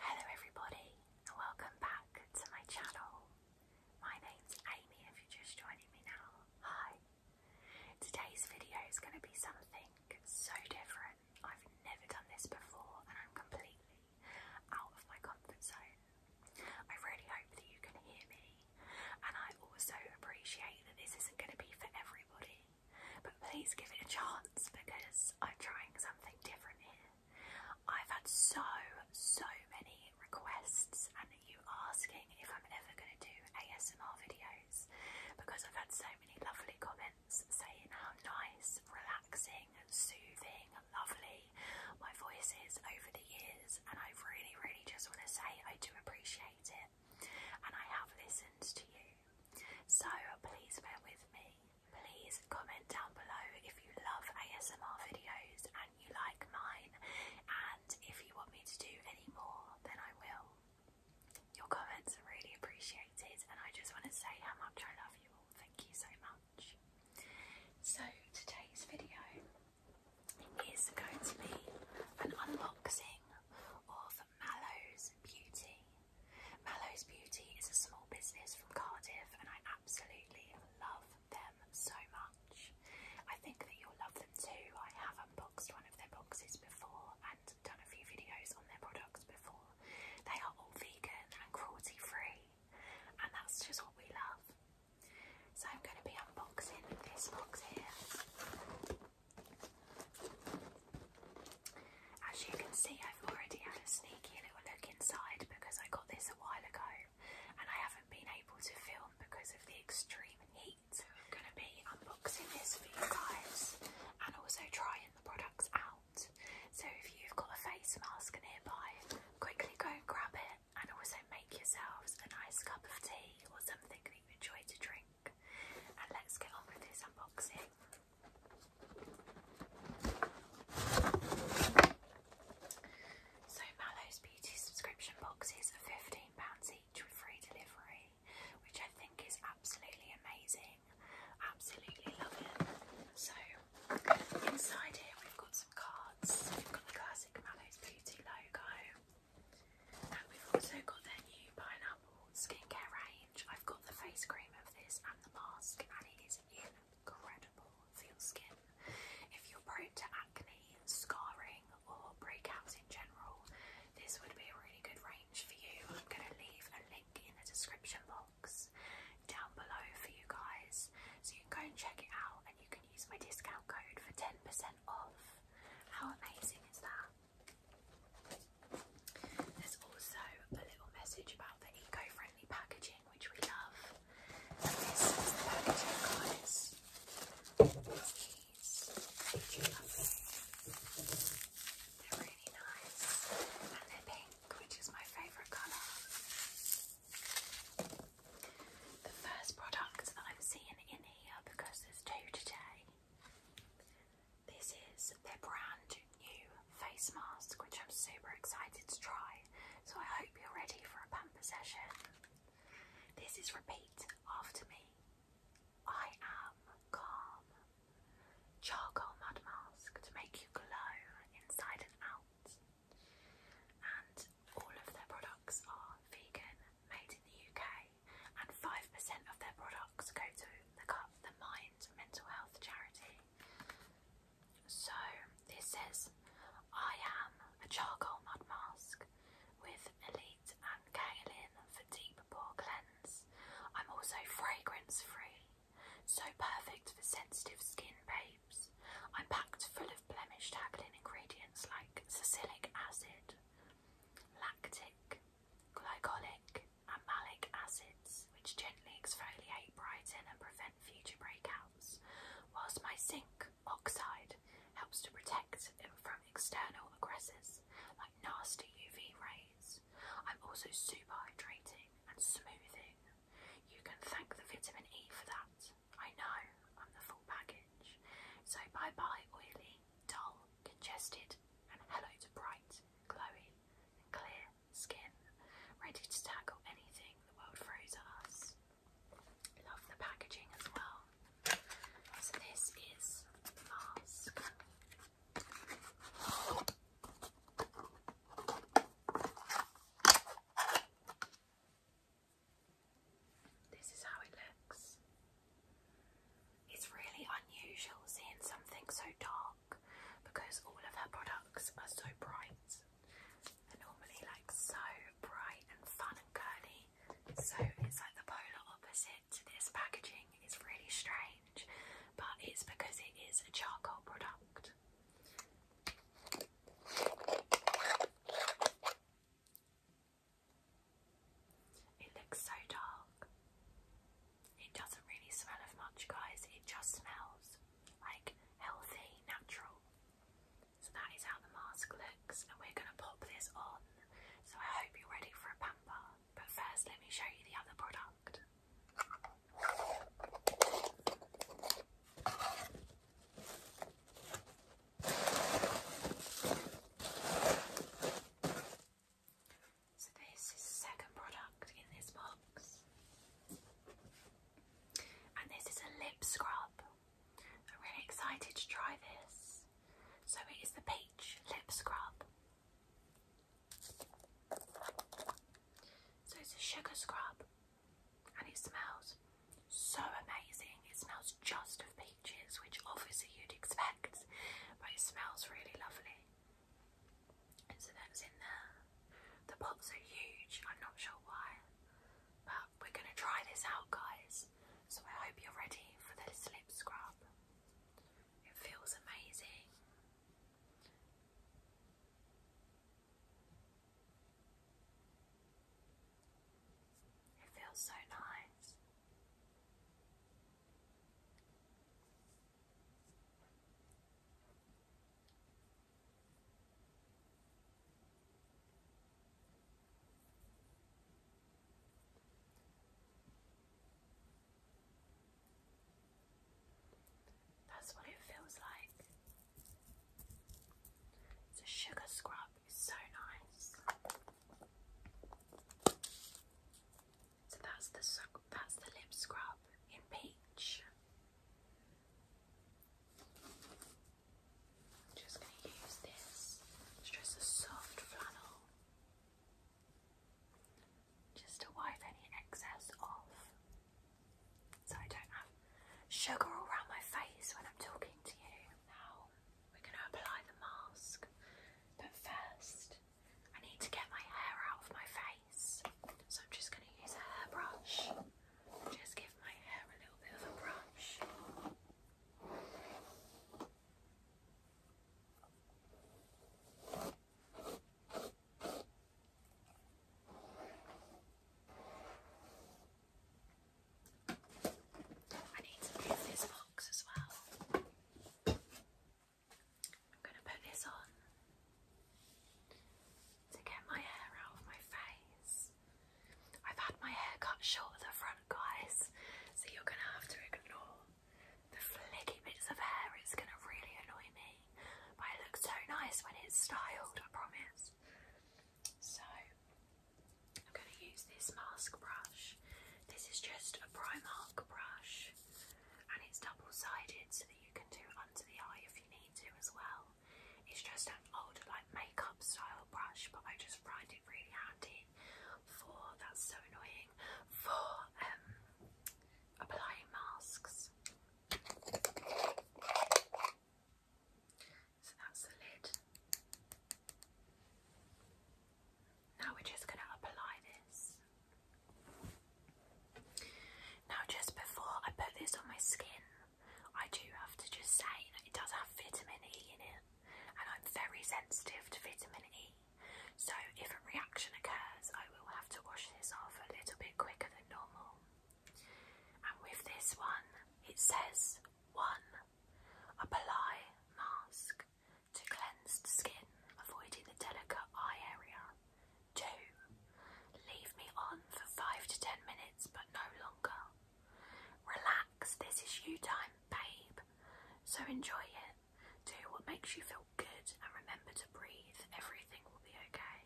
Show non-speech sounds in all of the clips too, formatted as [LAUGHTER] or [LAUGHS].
Hello everybody and welcome back to my channel. My name's Amy if you're just joining me now. Hi. Today's video is going to be something so different. I've never done this before and I'm completely out of my comfort zone. I really hope that you can hear me and I also appreciate that this isn't going to be for everybody. But please give it a chance because I'm trying something different here. I've had so, so many requests and you asking if I'm ever going to do ASMR videos because I've had so many lovely comments saying how nice, relaxing, and soothing, and lovely my voice is over the years and I really, really just want to say I do appreciate it and I have listened to you. So please bear with me. Please comment down below if you love ASMR videos and you like mine, and if you want me to do any more, then I will. Your comments are really appreciated, and I just want to say how much I love you all. Thank you so much. So, today's video is going to be an unboxing of Mallow's Beauty Mallow's Beauty is a small business from Cardiff and I absolutely love them so much. I think that you'll love them too. I have unboxed one of their boxes before and done a few videos on their products before. They are all vegan and cruelty free and that's just what we love. So I'm going to be unboxing this box here. As you can see, I've already had a sneaky little look inside because I got this a while ago and I haven't been able to film because of the extreme heat. So I'm going to be unboxing this for you guys and also trying the products out. So if you've got a face mask nearby, quickly go and grab it and also make yourselves a nice cup of tea or something that you enjoy to drink. And let's get on with this unboxing. So Mallow's Beauty subscription boxes are £15 each with free delivery, which I think is absolutely amazing. Absolutely love it. So inside here we've got some cards. We've got the classic Mallow's Beauty logo. And we've also got their new pineapple skincare range. I've got the face cream of this and the mask, and it is incredible for your skin. If you're prone to acne, scarring, or breakouts in general, this would be a really good range for you. I'm going to leave a link in the description box down below for you guys, so you can go and check it out, and you can use my discount code for 10% off. How amazing is that? There's also a little message about the eco-friendly packaging, which we love. And this packaging, guys. really nice. And they pink, which is my favourite colour. The first product that I'm seeing in here, because there's two today, this is their brand new face mask, which I'm super excited to try. So I hope you're ready for a pamper session. This is repeat after me. I am calm. Charcoal mud mask to make you glow inside and out. And all of their products are vegan, made in the UK, and 5% of their products go to the, Cup, the Mind Mental Health charity. So this says, I am a charcoal mud mask with Elite and Kaolin for deep pore cleanse. I'm also fragrance free, so perfect for sensitive skin babes. I'm packed full of blemish tackling ingredients like salicylic acid, lactic, glycolic, and acids, which gently exfoliate, brighten, and prevent future breakouts, whilst my zinc oxide helps to protect it from external aggressors like nasty UV rays. I'm also super hydrating and smoothing. You can thank the vitamin E for that. I know, I'm the full package. So bye bye, oily, dull, congested, and hello to bright, glowing, and clear skin, ready to tackle anything the world throws at us. Love the packaging as well. So this is mask. This is how it looks. It's really unusual seeing something so dark because all of her products are so bright. They're normally like so bright and fun and curly. So it's like the polar opposite to this packaging. It's really strange, but it's because it is a charcoal product. It looks so dark. It doesn't really smell of much, guys. It just smells like healthy, natural. So that is how the mask looks, and we're going to pop this on. So I hope you're ready for a pamper, but first let me show you the other product. So this is the second product in this box. And this is a lip scrub. I'm really excited to try this. So it is the peach lip scrub. So it's a sugar scrub and it smells so amazing. It smells just of peaches, which obviously you'd expect, but it smells really lovely. So that's in there. The pots are huge. I'm not sure why, but we're going to try this out, guys. So I hope you're ready for the slip scrub. It feels amazing. It feels so nice. That's what it feels like. The sugar scrub is so nice. So that's the that's the lip scrub in peach. just going to use this. just a soft flannel, just to wipe any excess off, so I don't have sugar all around my face when I'm talking to you. Now we're going to apply the mask, but first I need to get my hair out of my face, so I'm just going to use a hairbrush. Just give my hair a little bit of a brush. I need to move this box as well. I'm going to put this on to get my hair out of my face. I've had my hair cut short at the front, guys, so you're going to have to ignore the flicky bits of hair. It's going to really annoy me, but it looks so nice when it's styled, I promise. So, I'm going to use this mask brush. This is just a Primark brush and it's double-sided so that you can do it under the eye if you need to as well. It's just an old like makeup style brush, but I just find it really handy for that's so annoying for um applying masks. So that's the lid. Now we're just going to apply this. Now just before I put this on my skin, I do have to just say that it does have vitamin E in it and I'm very sensitive to vitamin E. So if a reaction occurs, I will have to wash this off a little bit quicker than normal. And with this one, it says 1. Apply mask to cleansed skin, avoiding the delicate eye area. 2. Leave me on for 5 to 10 minutes, but no longer. Relax, this is you time, babe. So enjoy it. Do what makes you feel good and remember to breathe. Everything will be okay.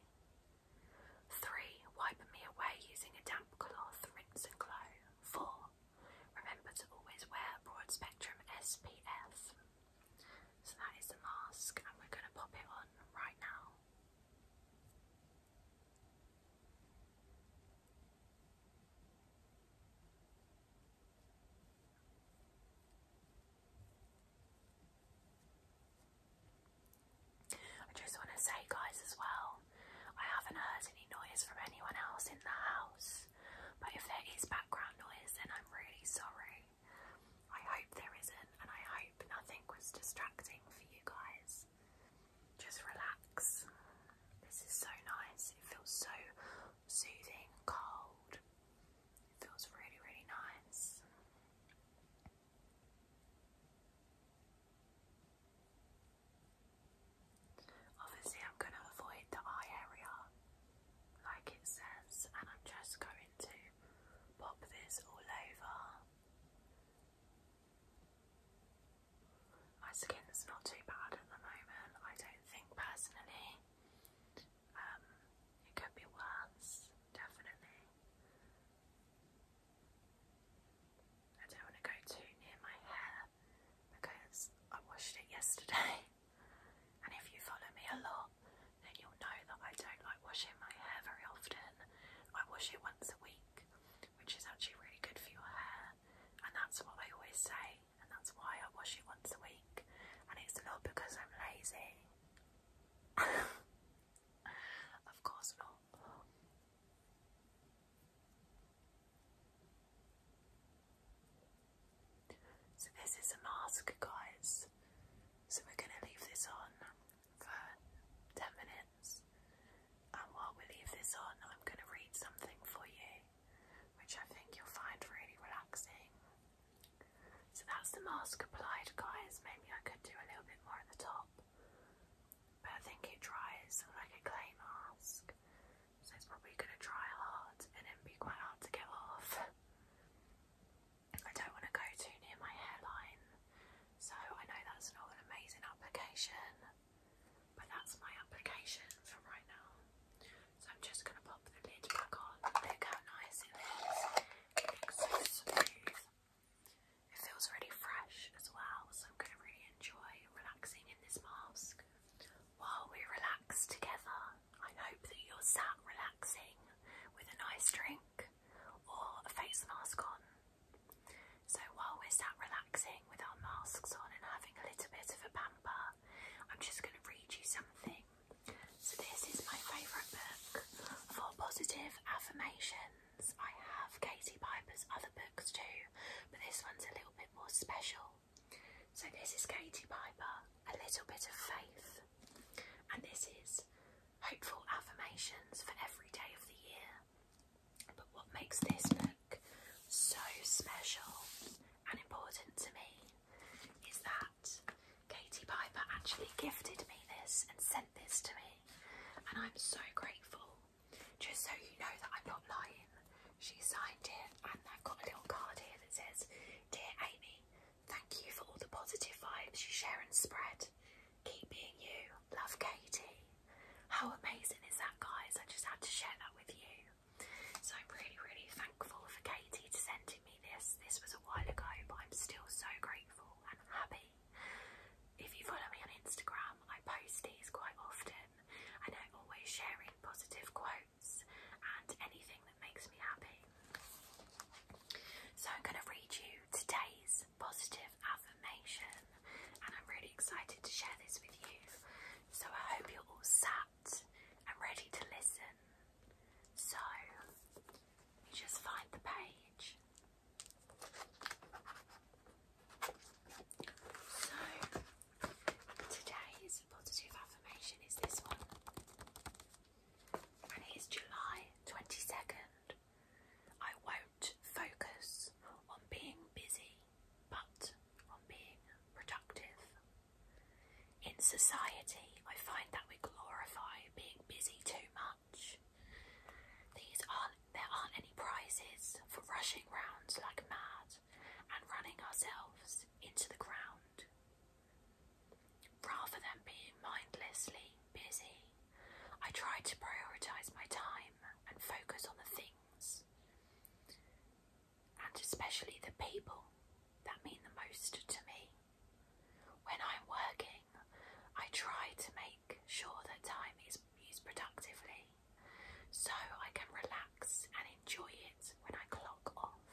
3. Wipe me away using a damp cloth, rinse and glow. 4. Remember to always wear broad spectrum SPF. So that is the mask and we're going to pop it on right now. I just want to say, guys, as well, I haven't heard any noise from anyone else in the house, but if there is background noise, then I'm really sorry. I hope there isn't, and I hope nothing was distracting for you guys. Just relax. This is so nice. It feels so soothing, cold. It feels really, really nice. Obviously, I'm going to avoid the eye area like it says, and I'm just going to pop this all over. My skin's not too bad at the moment, I don't think personally. Um, it could be worse, definitely. I don't want to go too near my hair because I washed it yesterday. [LAUGHS] And if you follow me a lot, then you'll know that I don't like washing my hair very often. I wash it once a week, which is actually really good for your hair. And that's what I always say, and that's why I wash it once a week. And it's not because I'm lazy. [LAUGHS] of course not. So this is a mask, guys. So we're going to leave this on for 10 minutes. And while we leave this on, I'm going to read something for you, which I think you'll find really relaxing. So that's the mask applied, guys. Maybe I could do a little bit more at the top, but I think it dries like a clay mask so it's probably going to dry hard and then be quite hard to get off. I don't want to go too near my hairline, so I know that's not an amazing application, but that's my application for right now. So I'm just going to pop the lid back on. Look how nice it is. It feels really fresh as well, so I'm going to really enjoy relaxing in this mask while we relax together. I hope that you're sat relaxing with a nice drink or a face mask on. So while we're sat relaxing with our masks on and having a little bit of a pamper, I'm just going to read you something. So this is my favourite book for positive affirmations. I have Katie Piper's other books too, but this one's a little bit more special. So this is Katie Piper, A Little Bit of Faith, and this is Hopeful Affirmations for Every Day of the Year. But what makes this book so special and important to me is that Katie Piper actually gifted me this and sent this to me, and I'm so grateful. Just so you know that I'm not lying, she signed it, and I've got a little card here that says, Dear Amy, thank you for all the positive vibes you share and spread. Keep being you. Love, Katie. How amazing is that, guys? I just had to share that with you. So I'm really, really thankful for Katie to sending me this. This was a while ago, but I'm still so grateful and happy. If you follow me on Instagram, I post these quite often and I'm always sharing positive quotes and anything that makes me happy. So I'm going to read you today's positive affirmation and I'm really excited to share this with you. So I hope you're all sat and ready to listen. So you just find the page. So Today's positive affirmation is this one, and it is July 22nd. I won't focus on being busy, but on being productive. In society, I find that we glorify being busy too much. These aren't, there aren't any prizes for rushing rounds like mad and running ourselves into the ground. Rather than being mindlessly busy, I try to prioritize my time and focus on the things and especially the people that mean the most to me. When I'm working, I try to make sure that time is used productively so I can relax and enjoy it when I clock off.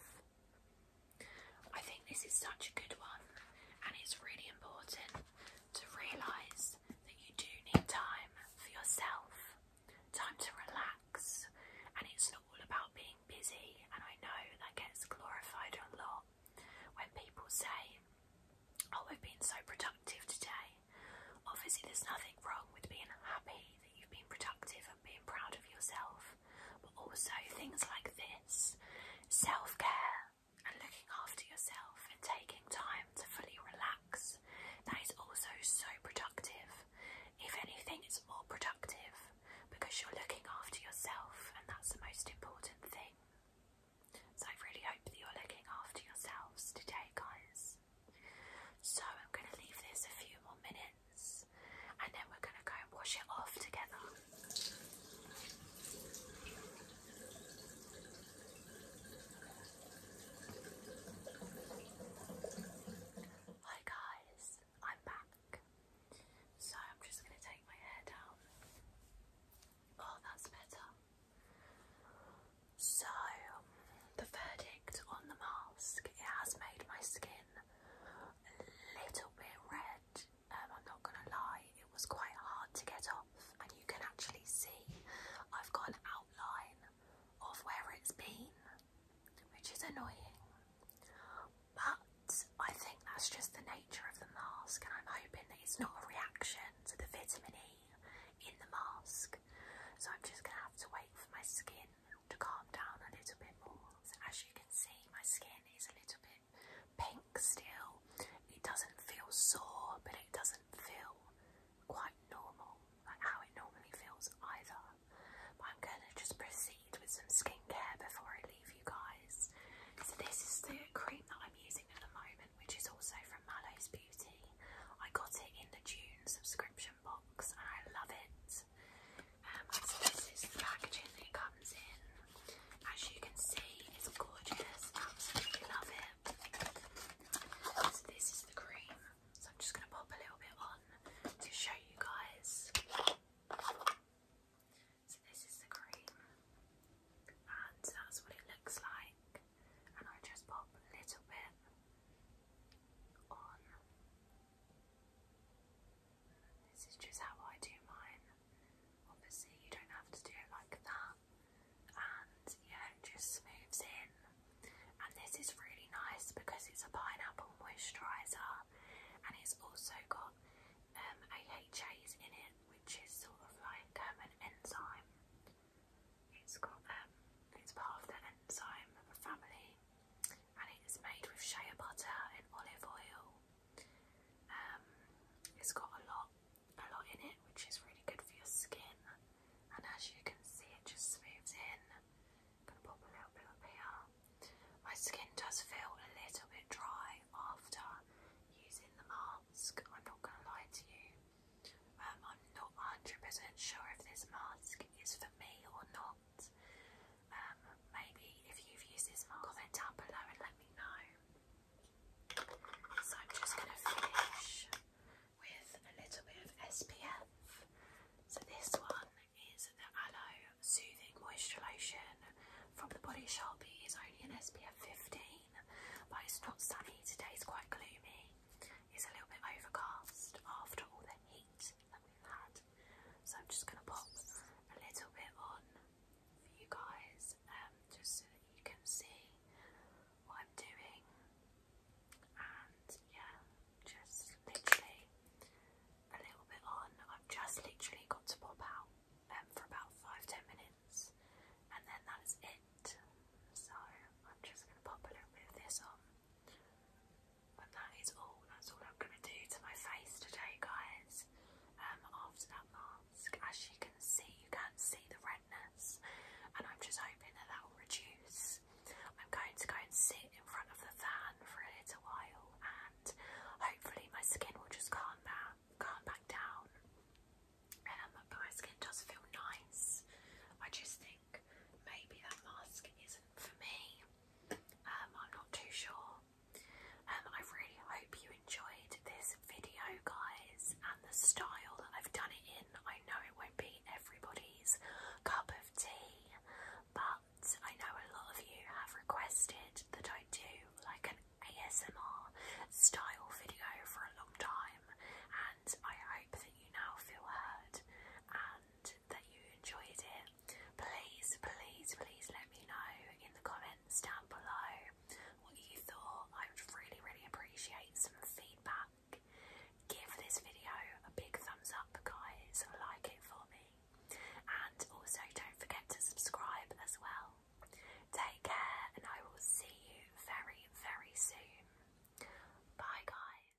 I think this is such a good one, and it's really important to realise that you do need time for yourself, time to relax, and it's not all about being busy. And I know that gets glorified a lot when people say, Oh, I've been so productive today. Obviously, there's nothing wrong with being happy, you've been productive and being proud of yourself, but also things like this self care and looking after yourself and taking time to fully relax. That is also so productive. If anything, it's more productive because you're looking after yourself, and that's the most important thing. So, I really hope that you're looking after yourselves today, guys. So, I'm going to leave this a few more minutes and then we're going to go and wash it off together. Hi guys, I'm back. So I'm just going to take my hair down. Oh, that's better. So, the verdict on the mask, it has made my skin a little bit red. Um, I'm not gonna lie, it was quite hard to get off, and you can actually see I've got an outline of where it's been, which is annoying. But I think that's just the nature of the mask, and I'm hoping that it's not a reaction to the vitamin E in the mask. So I'm just gonna have to wait for my skin to calm down a little bit more. So as you can see, my skin is a little bit pink still. It doesn't feel sore, but it doesn't feel quite normal, like how it normally feels either. But I'm going to just proceed with some skincare before I leave you guys. So this is the cream that I'm using at the moment, which is also from Mallow's Beauty. I got it in the June subscription box and I love it. Um, this is the packaging it comes in. As you can see, it's gorgeous. Absolutely love it. So this is the cream. So I'm just going to pop a little bit on to show you guys. So this is the cream. And that's what it looks like. And I just pop a little bit on. This is just how I do mine. Obviously, you don't have to do it like that. And yeah, it just smooths in. And this is really nice because it's a pineapple moisturiser and it's also got um, AHAs in it, which is sort of like um, an enzyme. It's got um, it's part of the enzyme family and it is made with shea butter and olive oil. Um, it's got a lot, a lot in it, which is really good for your skin. And as you can see, it just smooths in. gonna pop a little bit up here. My skin does feel a little bit dry after using the mask. I'm not gonna lie to you. Um, I'm not 100% sure if this mask is for me or not. Um, maybe if you've used this mark, comment down below and let me know. So I'm just going to finish with a little bit of SPF. So this one is the Aloe Soothing Moisture Lotion from the Body Shop. It is only an SPF 15, but it's not sunny. today. It's quite gloomy. It's a little bit overcast after all the heat that we've So I'm just going to pop a little bit on for you guys, um, just so that you can see what I'm doing. And yeah, just literally a little bit on. I've just literally got to pop out um, for about five ten minutes, and then that is it. So I'm just going to pop a little bit of this on. But that is all. That's all I'm going to do to my face today, guys. Um, after that mask, as you can see, you can see the redness, and I'm just hoping that that will reduce. I'm going to go and sit in front of the fan for a little while, and hopefully my skin will just calm back, calm back down. Um, but my skin does feel nice. I just think think maybe that mask isn't for me. Um, I'm not too sure. Um, I really hope you enjoyed this video, guys, and the style that I've done it in. I know it won't be everybody's cup of tea, but I know a lot of you have requested that I do like an ASMR style video for a long time, and I hope that you now feel heard and that you enjoyed it. Please, please, please let me know in the comments down below what you thought. I would really, really appreciate some feedback. Give this video a big thumbs up, guys. Like it for me. And also, don't forget to subscribe as well. Take care, and I will see you very, very soon. Bye, guys.